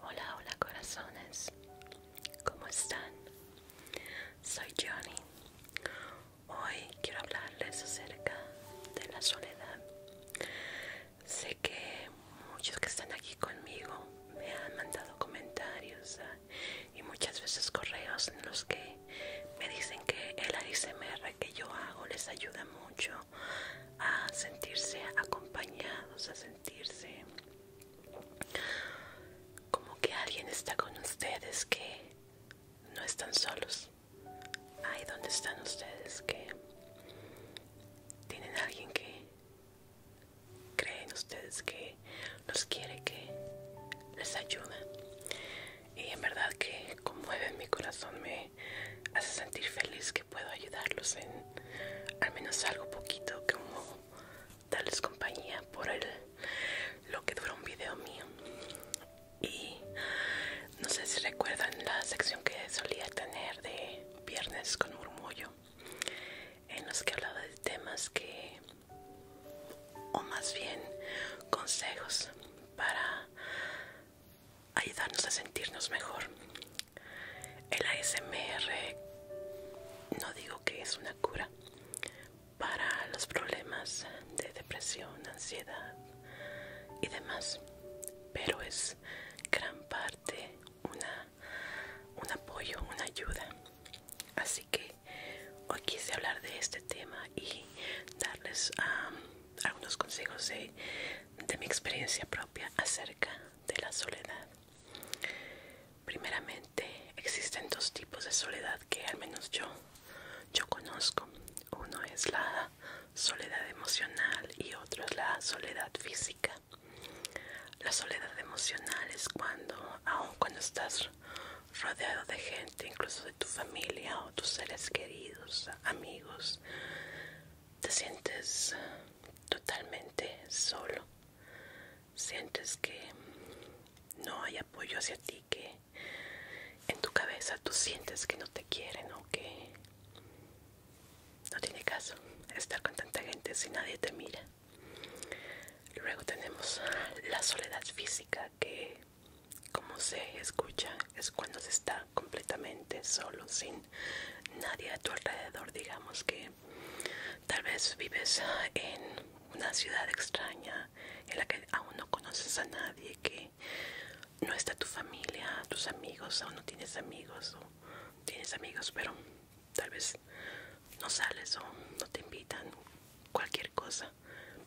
Hola, hola corazones, ¿cómo están? Soy Johnny. Hoy quiero hablarles acerca de la soledad. Sé que muchos que están aquí conmigo me han mandado comentarios ah, y muchas veces correos en los que me dicen que el ASMR que yo hago les ayuda mucho a sentirse acompañados, a sentirse como que alguien está con ustedes, que no están solos. Ahí donde están ustedes, que tienen alguien que creen ustedes que los quiere, que les ayuda y en verdad que conmueve mi corazón, me hace sentir feliz que puedo ayudarlos en al menos algo poquito como darles compañía por el, lo que dura un video mío. Y no sé si recuerdan la sección que solía tener de viernes con murmullo, en los que hablaba de temas que, o más bien consejos para ayudarnos a sentirnos mejor. El ASMR no digo que es una cura para los problemas de depresión, ansiedad y demás, pero es gran parte una, un apoyo, una ayuda. Así que hoy quise hablar de este tema y darles a algunos consejos de, mi experiencia propia acerca de la soledad. Primeramente, existen dos tipos de soledad que al menos yo, yo conozco. Uno es la soledad emocional y otro es la soledad física. La soledad emocional es cuando, aun cuando estás rodeado de gente, incluso de tu familia tus seres queridos, amigos, te sientes totalmente solo, sientes que no hay apoyo hacia ti, que en tu cabeza tú sientes que no te quieren o que no tiene caso estar con tanta gente si nadie te mira. Luego tenemos la soledad física que como se escucha es cuando se está completamente solo sin nadie a tu alrededor digamos que tal vez vives en una ciudad extraña en la que aún no conoces a nadie que no está tu familia tus amigos aún no tienes amigos o tienes amigos pero tal vez no sales o no te invitan cualquier cosa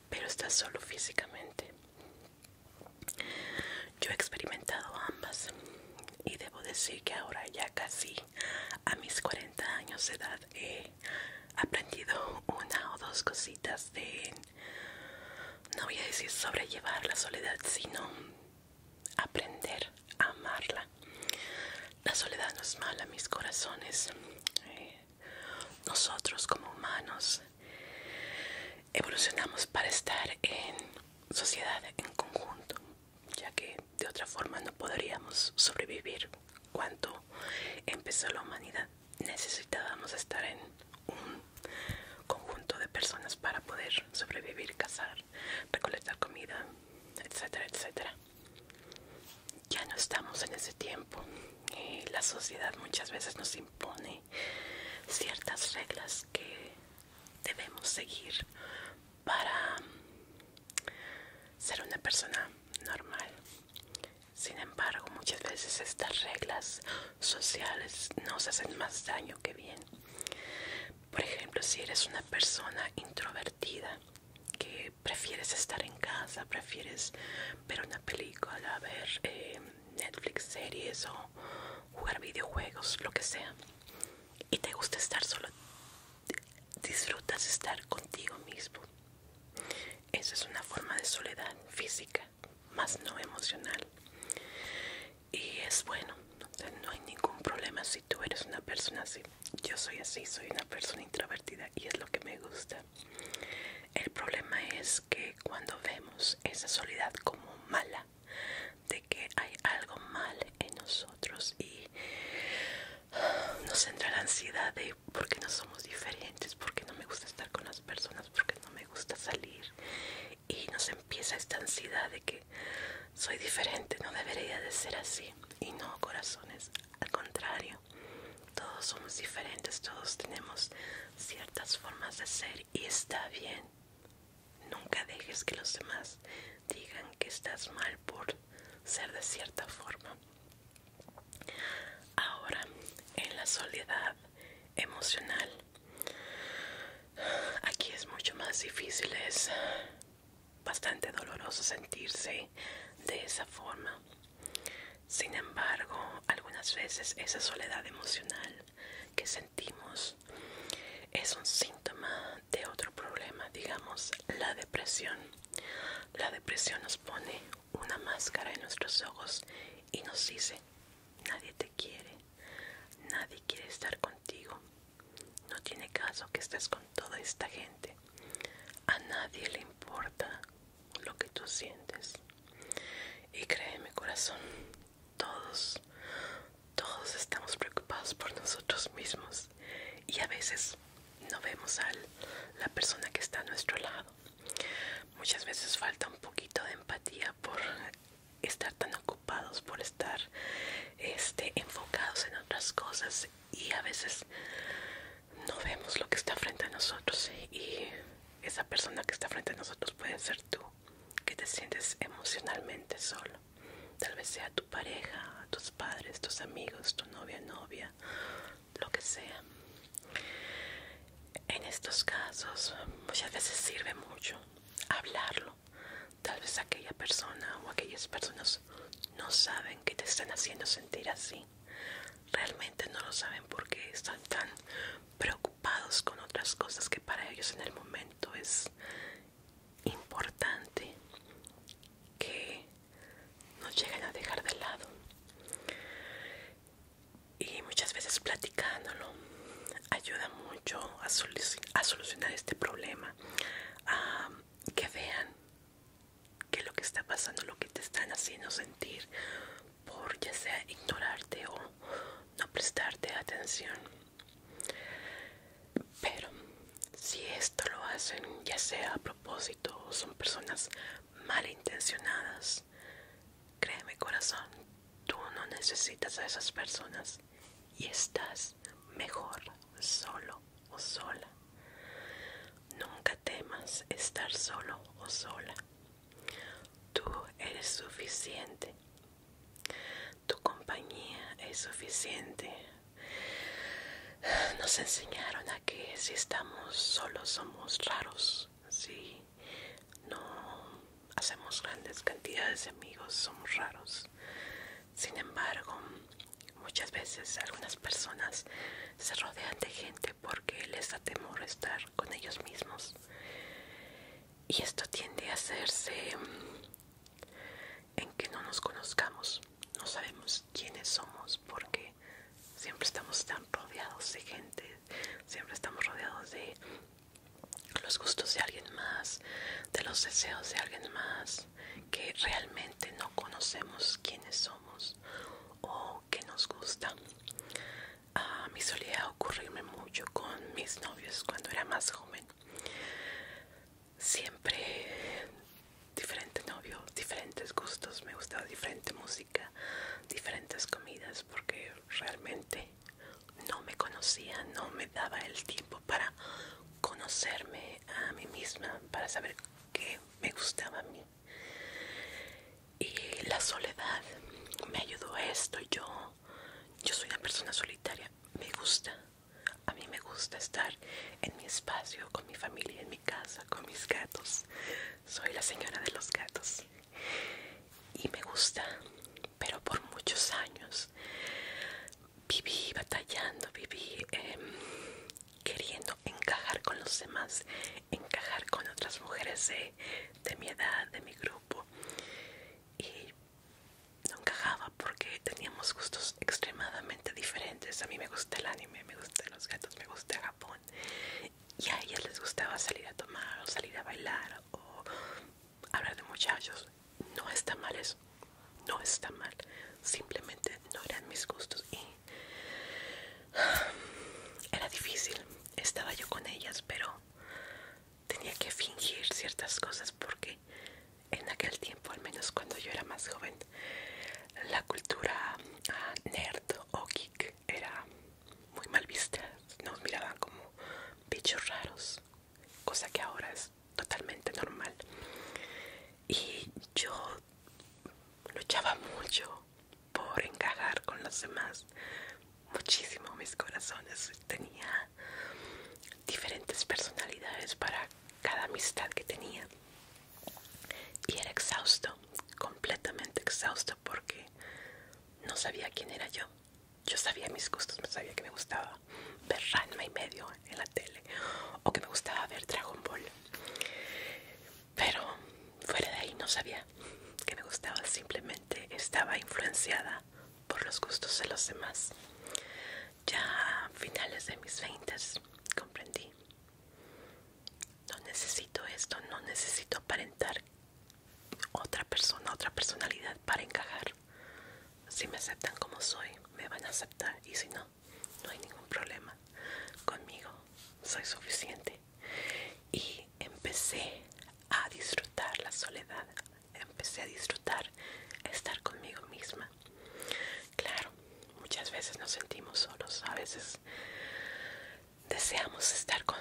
pero estás solo físicamente yo he experimentado ambas y debo decir que ahora ya casi a mis 40 años de edad he aprendido una o dos cositas de, no voy a decir sobrellevar la soledad, sino aprender a amarla. La soledad no es mala, mis corazones. Eh, nosotros como humanos evolucionamos para estar en sociedad en conjunto, ya que de otra forma no podríamos sobrevivir. Cuando empezó la humanidad, necesitábamos estar en un conjunto de personas para poder sobrevivir, cazar, recolectar comida, etcétera, etcétera. Ya no estamos en ese tiempo. Y eh, la sociedad muchas veces nos impone ciertas reglas que debemos seguir para ser una persona normal. Sin embargo, muchas veces estas reglas sociales nos hacen más daño que bien. Por ejemplo, si eres una persona introvertida, que prefieres estar en casa, prefieres ver una película, ver eh, Netflix series o jugar videojuegos, lo que sea, y te gusta estar solo, disfrutas estar contigo mismo. Esa es una forma de soledad física, más no emocional. Y es bueno, no hay ningún problema si tú eres una persona así. Yo soy así, soy una persona introvertida y es lo que me gusta. El problema es que cuando vemos esa soledad como mala, de que hay algo mal en nosotros y nos entra la ansiedad de por qué no somos diferentes, por qué no me gusta estar con las personas, por qué no me gusta salir y nos empieza esta ansiedad de que soy diferente, no debería de ser así y no corazones, al contrario, todos somos diferentes, todos tenemos ciertas formas de ser y está bien. Nunca dejes que los demás digan que estás mal por ser de cierta forma. Ahora, en la soledad emocional, aquí es mucho más difícil, es bastante doloroso sentirse de esa forma. Sin embargo, algunas veces esa soledad emocional que sentimos es un síntoma de otro problema, digamos la depresión. La depresión nos pone una máscara en nuestros ojos y nos dice, nadie te quiere, nadie quiere estar contigo, no tiene caso que estés con toda esta gente, a nadie le importa lo que tú sientes. Y créeme corazón, todos, todos estamos preocupados por nosotros mismos y a veces no vemos a la persona que está a nuestro lado. Muchas veces falta un poquito de empatía por estar tan ocupados, por estar este, enfocados en otras cosas y a veces no vemos lo que está frente a nosotros y esa persona que está frente a nosotros puede ser tú, que te sientes emocionalmente solo. Tal vez sea tu pareja, tus padres, tus amigos, tu novia, novia, lo que sea. En estos casos muchas veces sirve mucho hablarlo. Tal vez aquella persona o aquellas personas no saben que te están haciendo sentir así. Realmente no lo saben porque están tan preocupados con otras cosas que para ellos en el momento es importante que no lleguen a dejar de lado y muchas veces platicándolo ayuda mucho a, a solucionar este problema que vean que lo que está pasando lo que te están haciendo sentir por ya sea ignorarte o no prestarte atención. Pero si esto lo hacen ya sea a propósito o son personas malintencionadas, créeme corazón, tú no necesitas a esas personas y estás mejor solo o sola. Nunca temas estar solo o sola. Tú eres suficiente. Tu compañía es suficiente. Nos enseñaron a que si estamos solos somos raros. Si no hacemos grandes cantidades de amigos somos raros. Sin embargo, muchas veces algunas personas se rodean de gente porque les da temor estar con ellos mismos. Y esto tiende a hacerse en que no nos conozcamos, no sabemos quiénes somos porque siempre estamos tan rodeados de gente, siempre estamos rodeados de los gustos de alguien más, de los deseos de alguien más, que realmente no conocemos quiénes somos o qué nos gusta a ah, mí solía ocurrirme mucho con mis novios cuando era más joven. Siempre diferente novio, diferentes gustos, me gustaba diferente música, diferentes comidas, porque realmente no me conocía, no me daba el tiempo para conocerme a mí misma, para saber qué me gustaba a mí y la soledad me ayudó a esto yo yo soy una persona solitaria me gusta a mí me gusta estar en mi espacio con mi familia en mi casa con mis gatos soy la señora de los gatos y me gusta pero por muchos años viví batallando viví em, queriendo encajar con los demás encajar con otras mujeres de, mi edad, de mi grupo. Y no encajaba porque teníamos gustos extremadamente diferentes. A mí me gusta el anime, me gustan los gatos, me gusta Japón. Y a ellas les gustaba salir a tomar o salir a bailar o hablar de muchachos. No está mal eso, no está mal. Simplemente no eran mis gustos y Era difícil, estaba yo con ellas, pero tenía que fingir ciertas cosas porque en aquel tiempo, al menos cuando yo era más joven, la cultura ah, nerd o geek era muy mal vista. Nos miraban como bichos raros, cosa que ahora es totalmente normal. Y yo luchaba mucho por encajar con los demás muchísimo mis corazones tenía diferentes personalidades para cada amistad que tenía y era exhausto completamente exhausto porque no sabía quién era yo yo sabía mis gustos me sabía que me gustaba ver Ranma y medio en la tele o que me gustaba ver Dragon Ball pero fuera de ahí no sabía que me gustaba, simplemente estaba influenciada por los gustos de los demás. Ya a finales de mis veintes comprendí. No necesito esto, no necesito aparentar otra persona, otra personalidad para encajar. Si me aceptan como soy, me van a aceptar y si no, no hay ningún problema. Conmigo soy suficiente y empecé a disfrutar la soledad, empecé a disfrutar estar conmigo misma. Claro, muchas veces nos sentimos solos, a veces deseamos estar con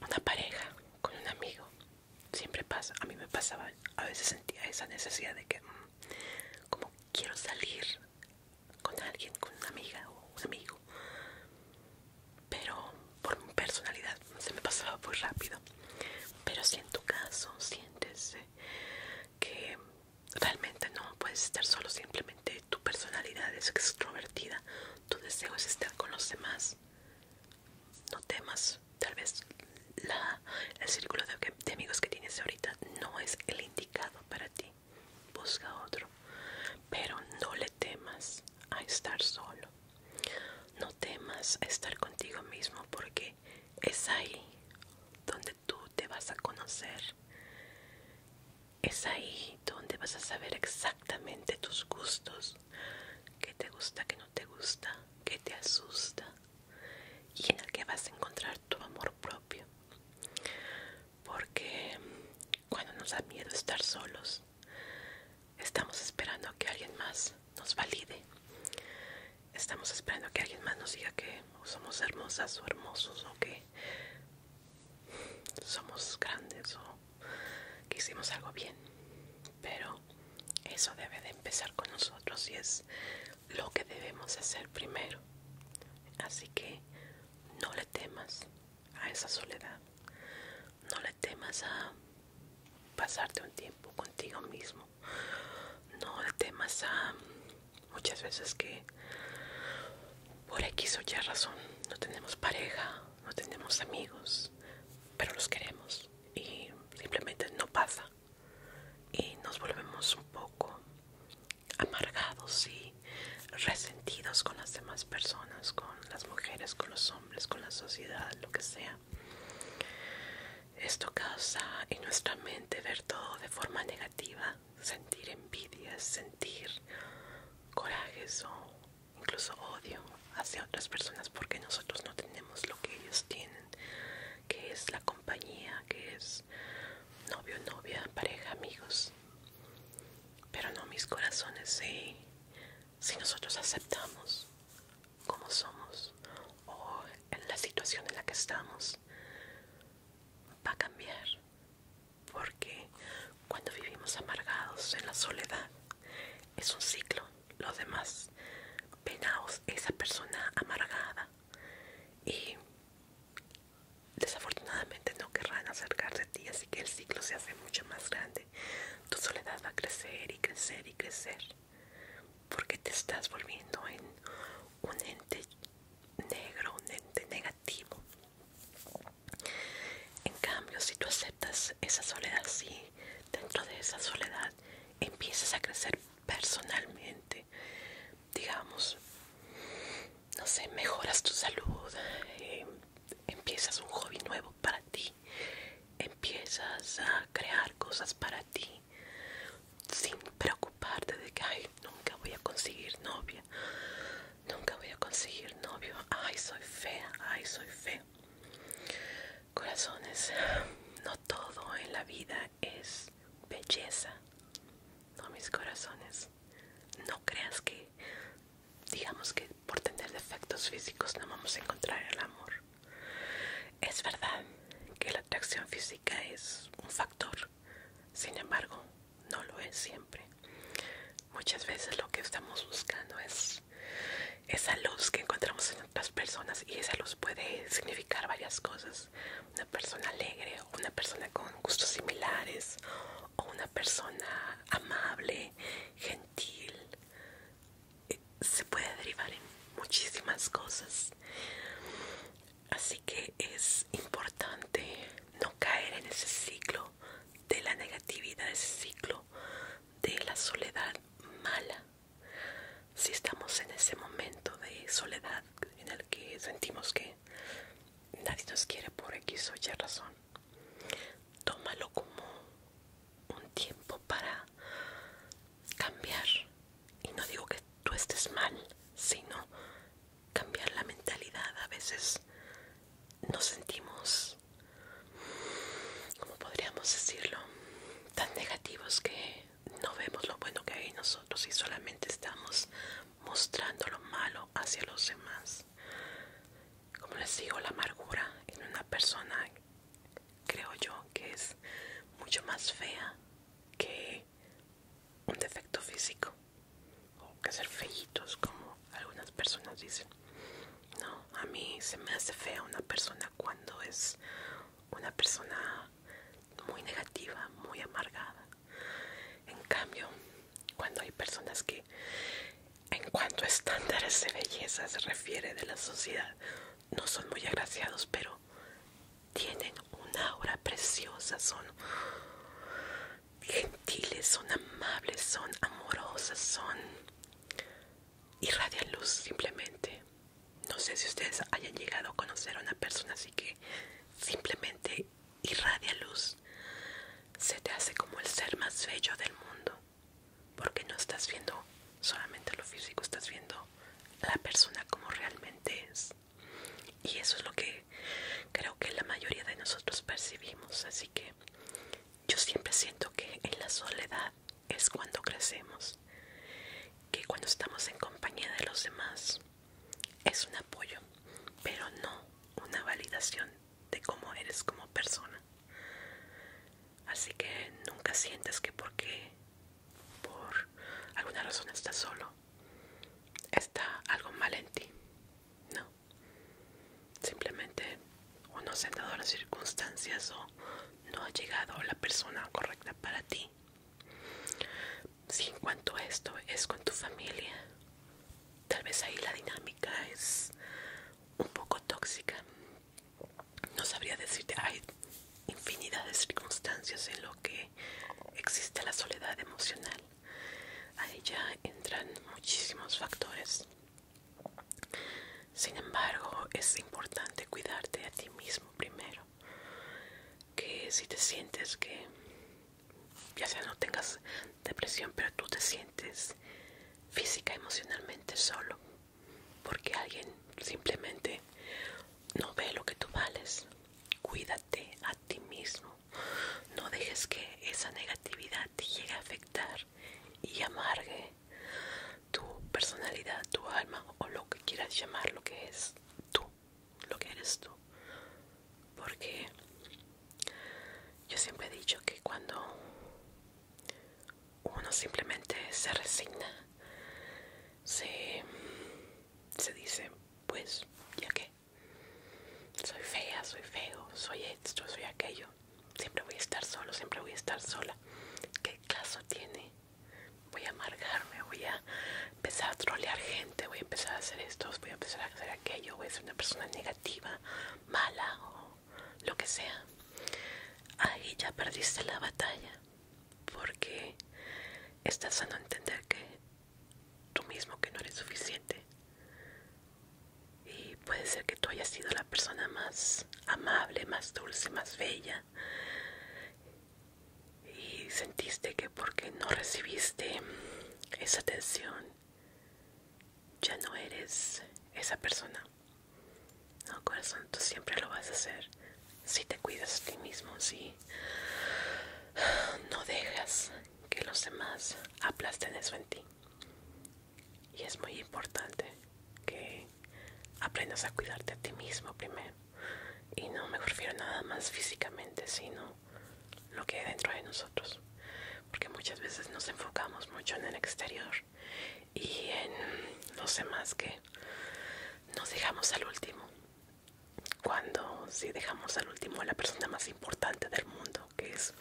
una pareja, con un amigo. Siempre pasa, a mí me pasaba, a veces sentía esa necesidad de que, mm, como quiero salir con alguien, con una amiga o un amigo, pero por mi personalidad se me pasaba muy rápido. Pero si en tu caso sientes eh, que realmente no puedes estar solo, simplemente tu personalidad es extrovertida, tu deseo es estar con los demás, no temas, tal vez la, el círculo de, de amigos que tienes ahorita no es el indicado para ti, busca otro. Pero no le temas a estar solo. No temas a estar contigo mismo porque es ahí donde tú te vas a conocer. Es ahí donde vas a saber exactamente tus gustos, qué te gusta, qué no te gusta, qué te asusta y en el que vas a encontrar tu amor propio. Porque cuando nos da miedo estar solos, Estamos esperando que alguien más nos valide. Estamos esperando que alguien más nos diga que somos hermosas o hermosos o que somos grandes o que hicimos algo bien. Pero eso debe de empezar con nosotros y es lo que debemos hacer primero. Así que no le temas, a esa soledad. No le temas a pasarte un tiempo contigo mismo. No le temas a muchas veces que por X o Y razón no tenemos pareja, no tenemos amigos, pero los queremos y simplemente no pasa. Y nos volvemos un poco amargados y resentidos con las demás personas, con las mujeres, con los hombres, con la sociedad, lo que sea. Esto causa en nuestra mente ver todo de forma negativa, sentir envidias, sentir corajes o incluso odio hacia otras personas porque nosotros no tenemos lo que ellos tienen, que es la compañía, que es novio, novia, pareja, amigos. Pero no, mis corazones sí si nosotros aceptamos como somos o en la situación en la que estamos, va a cambiar. Porque cuando vivimos amargados en la soledad, es un ciclo. Los demás ven esa persona amargada y desafortunadamente no querrán acercarse a ti, así que el se hace mucho más grande. Tu soledad va a crecer y crecer y crecer. Porque te estás volviendo en un ente negro, un ente negativo. En cambio, si tú aceptas esa soledad, sí, dentro de esa soledad empiezas a crecer personalmente. Digamos, no sé, mejoras tu salud, eh, empiezas un hobby nuevo para ti, empiezas a crear cosas para ti sin preocuparte de que, ay, nunca voy a conseguir novia, nunca voy a conseguir novio, ay, soy fea, ay, soy fea Corazones, no todo en la vida es belleza, no mis corazones no creas que digamos que por tener defectos físicos no vamos a encontrar el amor. Es verdad que la atracción física es un factor, sin embargo, no lo es siempre. Muchas veces lo que estamos buscando es esa luz que encontramos en otras personas y esa luz puede significar varias cosas. Una persona alegre, una persona con gustos similares o una persona amable, gentil, eh, se puede derivar en muchísimas cosas. Así que es importante no caer en ese ciclo de la negatividad, ese ciclo de la soledad mala. Si estamos en ese momento de soledad en el que sentimos que nadie nos quiere por X o Y razón, tómalo como un tiempo para cambiar. Y no digo que tú estés mal, sino cambiar la mentalidad. A veces nos sentimos, como podríamos decirlo, tan negativos que no vemos lo bueno que hay en nosotros y solamente estamos mostrando lo malo hacia los demás. Como les digo, la amargura en una persona creo yo que es mucho más fea que un defecto físico o que ser feitos como algunas personas dicen. No, a mí se me hace fea una persona cuando es una persona muy negativa, muy amargada. En cambio, cuando hay personas que en cuanto a estándares de belleza se refiere de la sociedad, no son muy agraciados, pero tienen una aura preciosa, son gentiles, son amables, son amorosas, son irradian luz simplemente. No sé si ustedes hayan llegado a conocer a una persona así que simplemente irradia luz, se te hace como el ser más bello del mundo, porque no estás viendo solamente lo físico, estás viendo la persona como realmente es. Y eso es lo que creo que la mayoría de nosotros percibimos, así que yo siempre siento que en la soledad es cuando crecemos, que cuando estamos en compañía de los demás es un apoyo, pero no una validación de cómo eres como persona. Así que nunca sientes que porque por alguna razón estás solo, está algo mal en ti. No. Simplemente uno se han dado las circunstancias o no ha llegado la persona correcta para ti. Si en cuanto a esto es con tu familia, Tal vez ahí la dinámica es un poco tóxica. No sabría decirte, hay infinidad de circunstancias en lo que existe la soledad emocional. Ahí ya entran muchísimos factores. Sin embargo, es importante cuidarte a ti mismo primero. Que si te sientes que ya sea no tengas depresión, pero tú te sientes física, emocionalmente solo, porque alguien simplemente no ve lo que tú vales. Cuídate a ti mismo. No dejes que esa negatividad te llegue a afectar y amargue tu personalidad, tu alma o lo que quieras llamar lo que es tú, lo que eres tú. Porque yo siempre he dicho que cuando uno simplemente se resigna, se, dice, pues, ¿ya qué? Soy fea, soy feo, soy esto, soy aquello. Siempre voy a estar solo, siempre voy a estar sola. ¿Qué caso tiene? Voy a amargarme, voy a empezar a trolear gente, voy a empezar a hacer esto, voy a empezar a hacer aquello, voy a ser una persona negativa mala o lo que sea, ahí ya perdiste la batalla porque estás dando a entender que tú mismo que no eres suficiente. Y puede ser que tú hayas sido la persona más amable, más dulce, más bella. Y sentiste que porque no recibiste esa atención, ya no eres esa persona. No, corazón, tú siempre lo vas a hacer si te cuidas a ti mismo, si no dejas que los demás aplasten eso en ti. Y es muy importante que aprendas a cuidarte a ti mismo primero. Y no me refiero nada más físicamente, sino lo que hay dentro de nosotros porque muchas veces nos enfocamos mucho en el exterior y en los demás que nos dejamos al último cuando si dejamos al último a la persona más importante del mundo que es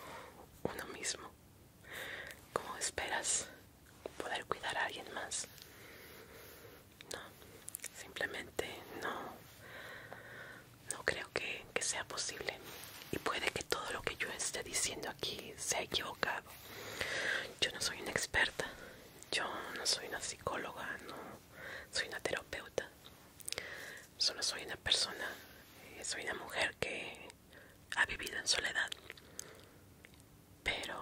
uno mismo ¿cómo esperas poder cuidar a alguien más? no simplemente no no creo que, sea posible y puede que todo lo que yo esté diciendo aquí sea equivocado. Yo no soy una experta, yo no soy una psicóloga, no soy una terapeuta, solo soy una persona, eh, soy una mujer que ha vivido en soledad, pero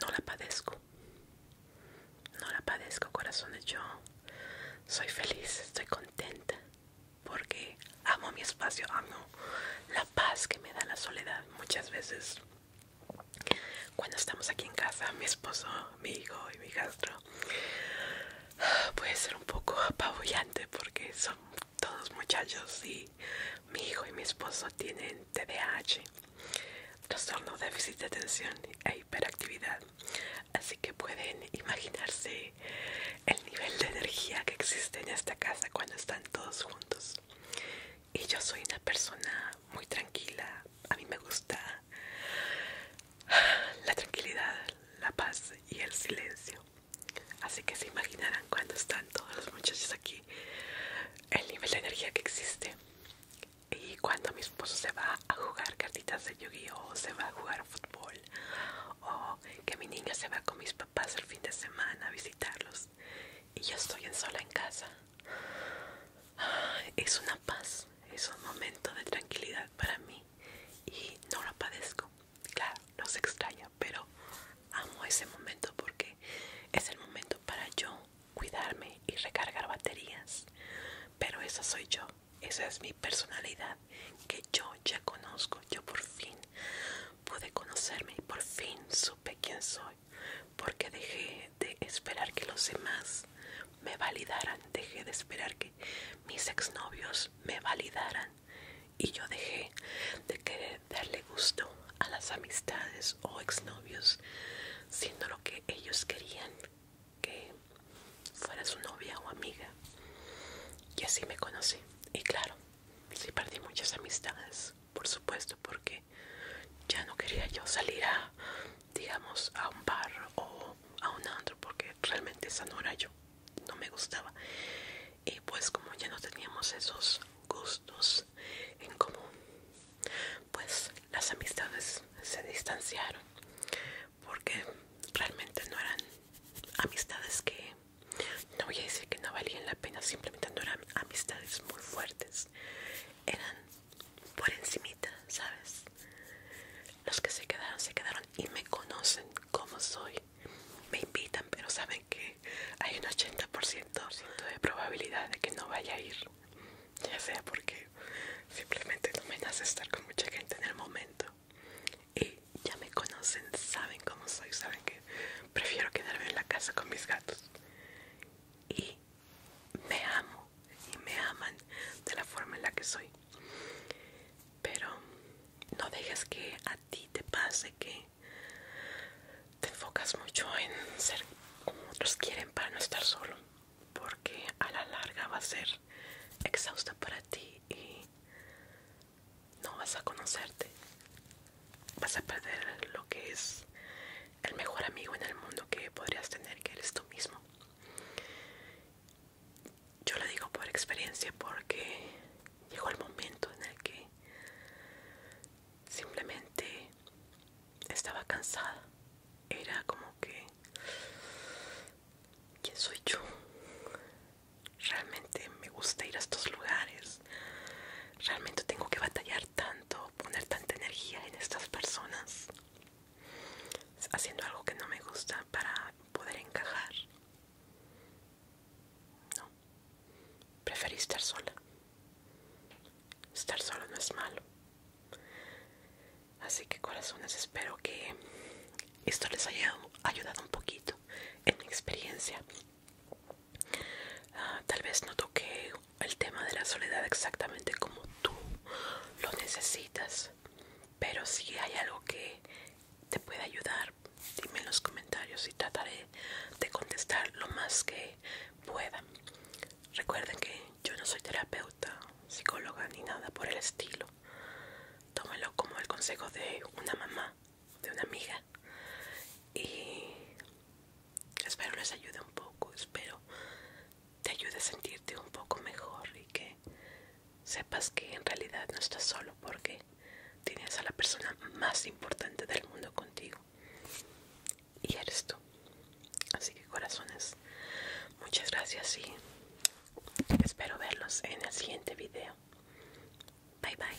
no la padezco, no la padezco corazón de yo soy feliz, estoy contenta porque amo mi espacio, amo la paz que me da la soledad. Muchas veces cuando estamos aquí en casa, mi esposo, mi hijo y mi gastro puede ser un poco apabullante porque son todos muchachos y mi hijo y mi esposo tienen TDAH, trastorno déficit de atención e hiperactividad. Así que pueden imaginarse el nivel de energía que existe en esta casa cuando están todos juntos. Y yo soy una persona muy tranquila. A mí me gusta la tranquilidad, la paz y el silencio. Así que se imaginarán cuando están todos los muchachos aquí el nivel de energía que existe. Y cuando mi esposo se va a jugar cartitas de yogui o Se va a jugar fútbol. O que mi niña se va con mis papás el fin de semana a visitarlos. Y yo estoy en sola en casa. Es una paz, es un momento de tranquilidad para mí. Y no lo padezco. Claro, los extraña pero amo ese momento porque es el momento para yo cuidarme y recargar baterías. Pero eso soy yo. Esa es mi personalidad que yo ya conozco. Yo por fin pude conocerme y por fin supe quién soy. Porque dejé de esperar que los demás me validaran. Dejé de esperar que mis exnovios me validaran. Y yo dejé de querer darle gusto a las amistades o exnovios siendo lo que ellos querían que fuera su novia o amiga. Y así me conocí. Y claro, sí perdí muchas amistades, por supuesto, porque ya no quería yo salir a, digamos, a un bar o a un antro, porque realmente esa no era yo, no me gustaba. Y pues como ya no teníamos esos gustos en común, pues las amistades se distanciaron porque realmente no eran amistades que no voy a decir que no valían la pena simplemente no eran amistades muy fuertes eran por encimita sabes los que se quedaron se quedaron y me conocen como soy me invitan pero saben que hay un 80% de probabilidad de que no vaya a ir ya sea porque simplemente no me nace estar con mucha gente en el momento. Y ya me conocen, saben cómo soy, saben que prefiero quedarme en la casa con mis gatos. Y me amo y me aman de la forma en la que soy. Pero no dejes que a ti te pase que te enfocas mucho en ser como otros quieren para no estar solo porque a la larga va a ser exhausta para ti y no vas a conocerte. Vas a perder lo que es el mejor amigo en el mundo que podrías tener, que eres tú mismo. Yo lo digo por experiencia porque llegó el momento en el que simplemente estaba cansada. Era como que quién soy yo. Realmente me gusta ir a estos lugares. Realmente tengo que batallar tanto, poner tanta energía en estas personas, haciendo algo que no me gusta para poder encajar. No, preferí estar sola. Estar sola no es malo. Así que corazones, espero que esto les haya ayudado un poquito en mi experiencia. Ah, tal vez no toque el tema de la soledad exactamente como tú lo necesitas, pero si hay algo que te pueda ayudar, dime en los comentarios y trataré de contestar lo más que pueda. Recuerden que yo no soy terapeuta, psicóloga ni nada por el estilo tómalo como el consejo de una mamá, de una amiga. Y espero les ayude un poco, espero te ayude a sentirte un poco mejor y que sepas que en realidad no estás solo porque tienes a la persona más importante del mundo contigo. Y eres tú. Así que corazones, muchas gracias y Espero verlos en el siguiente video. Bye bye.